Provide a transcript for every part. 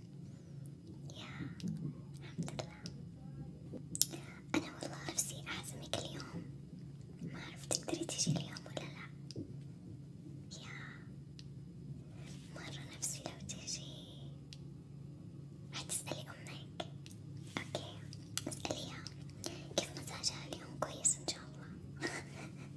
يا الحمد لله أنا والله نفسي أعزمك اليوم ما أعرف تقدري تجي اليوم ولا لا يا مرة نفسي لو تجي حتسألي أمك أوكي اسأليها كيف مزاجها اليوم كويس إن شاء الله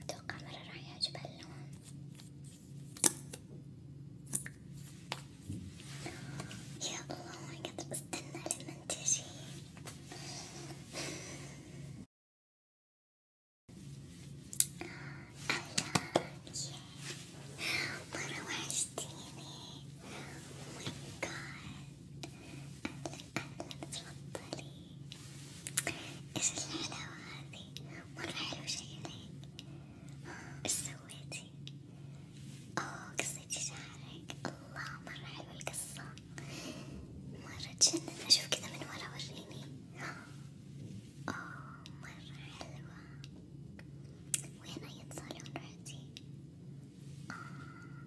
أتوقع مرة راح يعجب هاللون يا الله ما قدرت استنى لمن تجي مرة وحشتيني oh my god I تفضلي ايش الحلاوة هذي؟ مرة حلو شي عليك ايش سويتي؟ اوه قصيتي شعرك الله مرة حلوة القصة مرة تجنن اشوف كذا من ورا وريني اوه مرة حلوة وين اي صالون رحتي؟ آه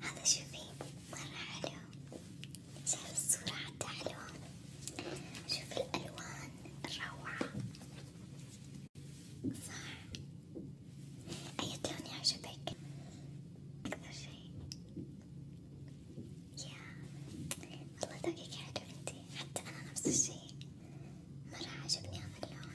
هذا شوفي مرة حلو شايف الصورة حتى حلوة شوف الألوان الروعة صح أي أيوة، لون يعجبك أكثر شي يا والله ذوقك حلو انتي حتى أنا نفس الشي مرة عجبني هذا اللون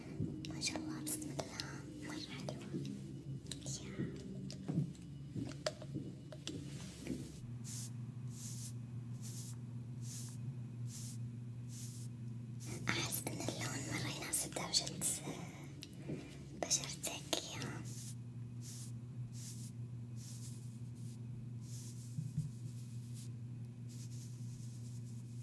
ما شاء الله بسم الله مرة حلوة يا أحس إن اللون مرة يناسب درجة آه، بشرتك يا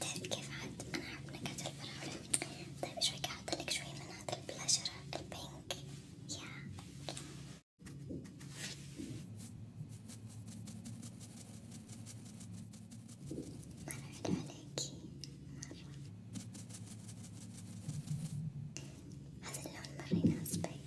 طيب كيف عاد أنا أحب نكهة الفراولة طيب شوي أحطلك شوي من هذا البلاشر البينك يا ما نعد عليكي مرة هذا اللون مرة يناسبك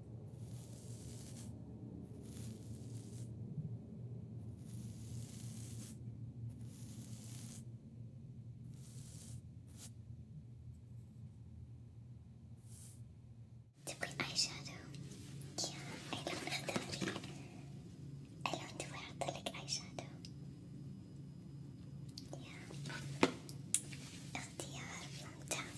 Tip eyeshadow. Yeah, I love it. I love to wear the eyeshadow. Yeah. اختيار ممتاز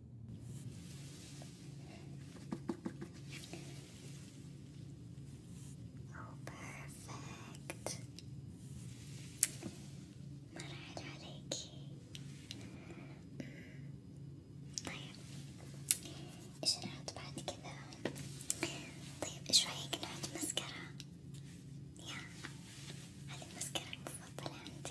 أو بيرفكت مرة حلو عليكي طيب ايش نحط بعد كذا؟ طيب ايش رايك نحط مسكرة؟ يا هذي المسكرة المفضلة عندي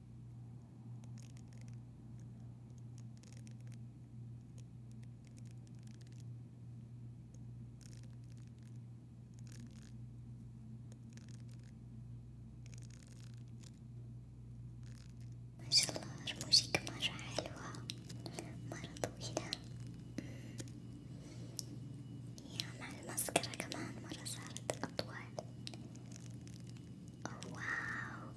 ما شاء الله رموشك مرة حلوة مرة طويلة يا مع المسكرة كمان مرة صارت أطول واو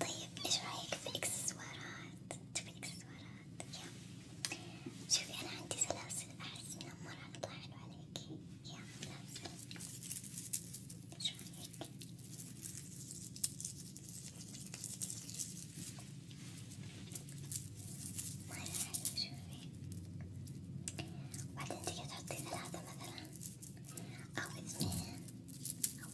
طيب ايش رايك في اكسسوارات؟ تبي اكسسوارات؟ يا شوفي انا عندي سلاسل احس انها مرة تطلع حلو عليكي يا سلاسل ايش رايك؟ مرة حلو شوفي وبعدين تقدر تحطي ثلاثة مثلا أو اثنين أو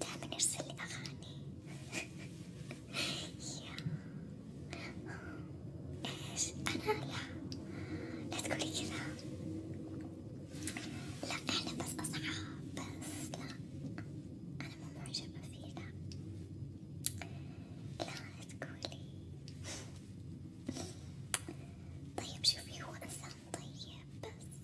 دائما يرسل لي أغاني إيش أنا لا لا تقولي كذا لا إحنا بس أصحاب بس لا أنا مو معجبة فيه لا لا تقولي طيب شوفي هو إنسان طيب بس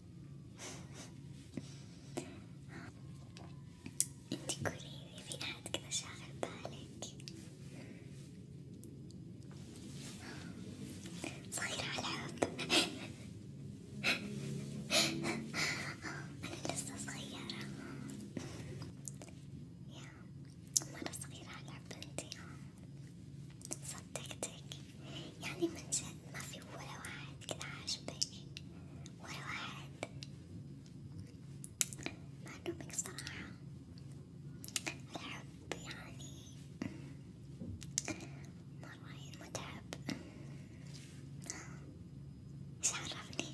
انتي قوليلي في أحد كذا شاغل بالك صايرة ألعب أنا لسه صغيرة يا مرة صغيرة ألعب بنتي صدقتك يعني من جد ما في ولا واحد كده عاجبني ولا واحد مع إنه صراحة الحب يعني مرة متعب إيش عرفني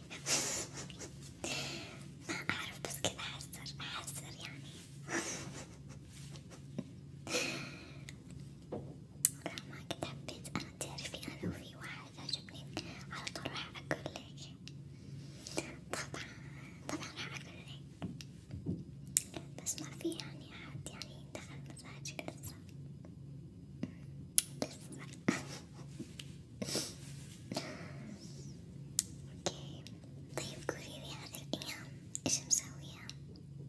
ما أعرف بس كذا أحسر أحسر يعني مهما كنت حبيت أنا تعرفي أنا لو في واحد عجبني على طول راح أقول لك طبعا طبعا راح أقول لك بس ما في يعني أحد يعني دخل مزاجك لسه بس اوكي طيب قوليلي هذه الأيام ايش مسوية؟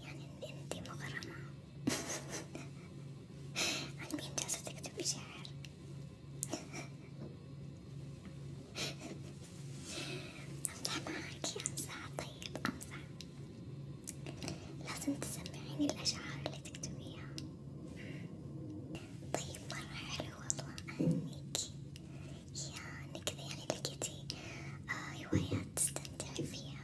يعني انتي مغرمة عن مين جالسة تكتبي شعر؟ أمزح معاكي أمزح طيب أمزح لازم تسمعيني الأشعار اللي تكتبيها طيب مرة حلو والله أهنيكي يا يعني كذا يعني لقيتي آه هوايات تستمتعي فيها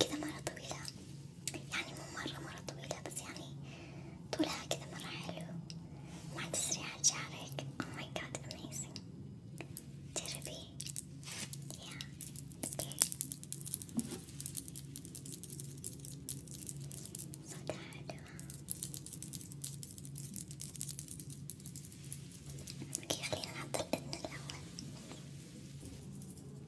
كذا مرة طويلة يعني مو مرة مرة طويلة بس يعني طولها كذا مرة حلو مع تسريعة شعرك oh my god amazing جربي yeah it's good صوتها حلوة اوكي خلينا نحط الأذن الأول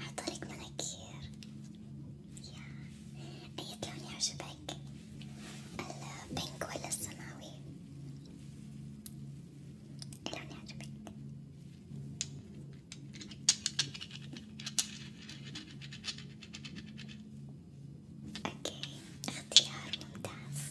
عن طريق مناكير يا أي لون يعجبك؟ البينك ولا السماوي؟ أي لون يعجبك؟ اوكي اختيار ممتاز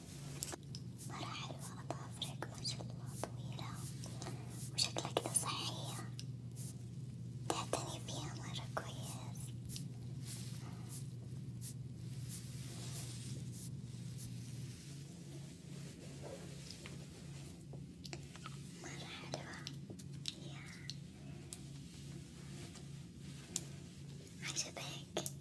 مرة حلوة أظافرك ما شاء الله طويلة وشكلها كذا صحية تعتني فيها مرة كويس مرة حلوة يا عجبك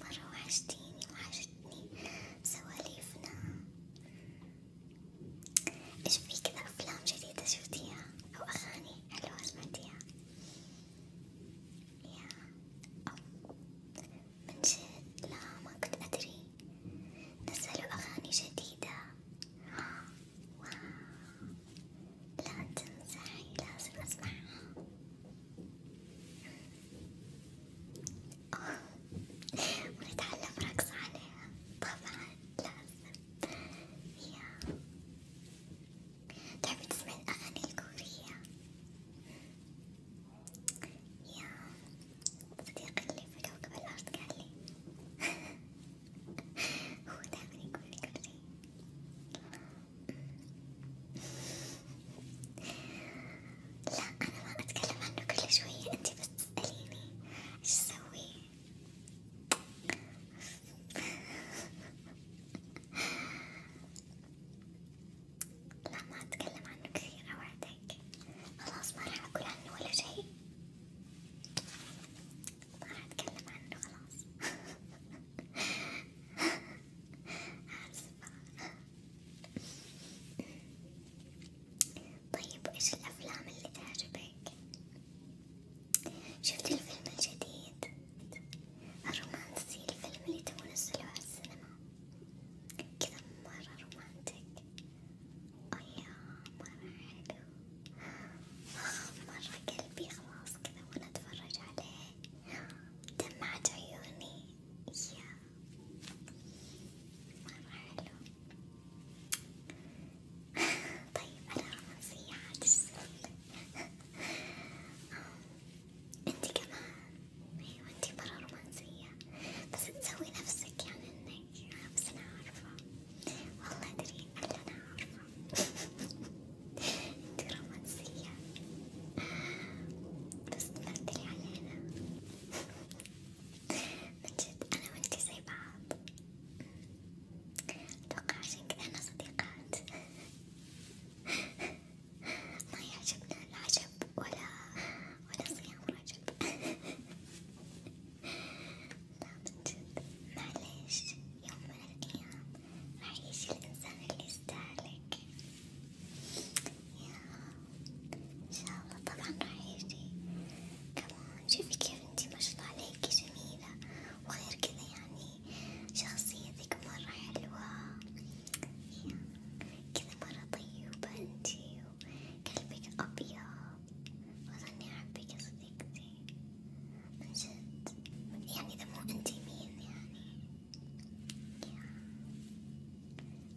مرة وحشتيني وحشتني سواليفنا ايش في كذا أفلام جديدة شفتيها أو أغاني حلوة سمعتيها؟ يا أو من جد لا ما كنت أدري نزلوا أغاني جديدة واو لا تنصحي لازم اسمعها ونتعلم رقص عليها طبعا لازم يا تحبي تسمعي الأغاني الكورية يا صديقي اللي في كوكب الأرض قال لي هو دايما يقول لي كوري لا أنا ما أتكلم عنه كل شوية أنت بس تسأليني إيش أسوي لا ما أتكلم عنه كثير أوعدك خلاص ما راح أقول عنه ولا شيء ما راح أتكلم عنه خلاص طيب إيش الأفلام اللي تعجبك؟ شفت الفيلم الجديد الرومانسي الفيلم اللي تو نزلوه على السينما كذا مرة رومانتك أيا مرة حلو آه، مرة قلبي خلاص خلاص كذا وأنا أتفرج عليه دمعت عيوني يا مرة حلو طيب أنا رومانسية عاد إيش أنتي كمان أيوة أنتي مرة رومانسية بس تسوي نفسك يعني إنك بس أنا عارفة والله أدري انتي رومانسية بس تمثلي علينا من جد أنا وانتي زي بعض أتوقع عشان كذا احنا صديقات ما يعجبنا العجب ولا ولا صيام رجب لا من جد معليش يوم من الأيام أعيش الإنسان اللي يستاهلك يا إن شاء الله طبعا راح يجي كمان شوفي كيف انتي ما شاء الله عليكي جميلة وغير كذا يعني شخصيتك مرة حلوة كذا مرة طيبة انتي وقلبك أبيض وظني أحبك يا صديقتي من جد يعني إذا مو أنتي مين يعني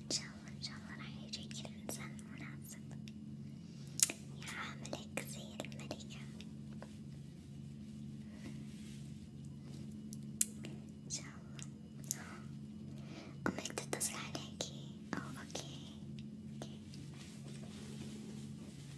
إن شاء الله إن شاء الله راح يجيك الإنسان المناسب يعاملك زي الملكة إن شاء الله أمك تتصل عليكي أو أوكي. أوكي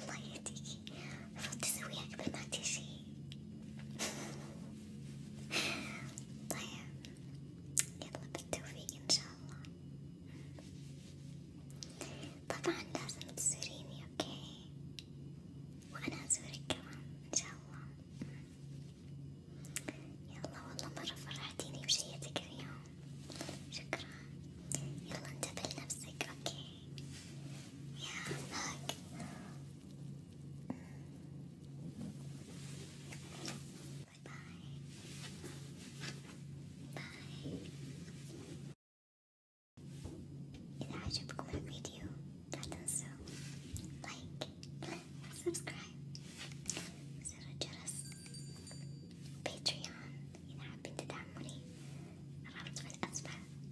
الله يهديكي المفروض تسويها قبل ما تجي طيب يلا بالتوفيق ان شاء الله طبعا لازم تزوريني اوكي وانا ازورك كمان ان شاء الله يلا والله مرة فرحتيني بشيتك اليوم شكرا يلا انتبه لنفسك اوكي Yeah, Bye-bye. If I should record a video that does so, like, subscribe. Zero Juras Patreon. You know, I've been to that money around with as well.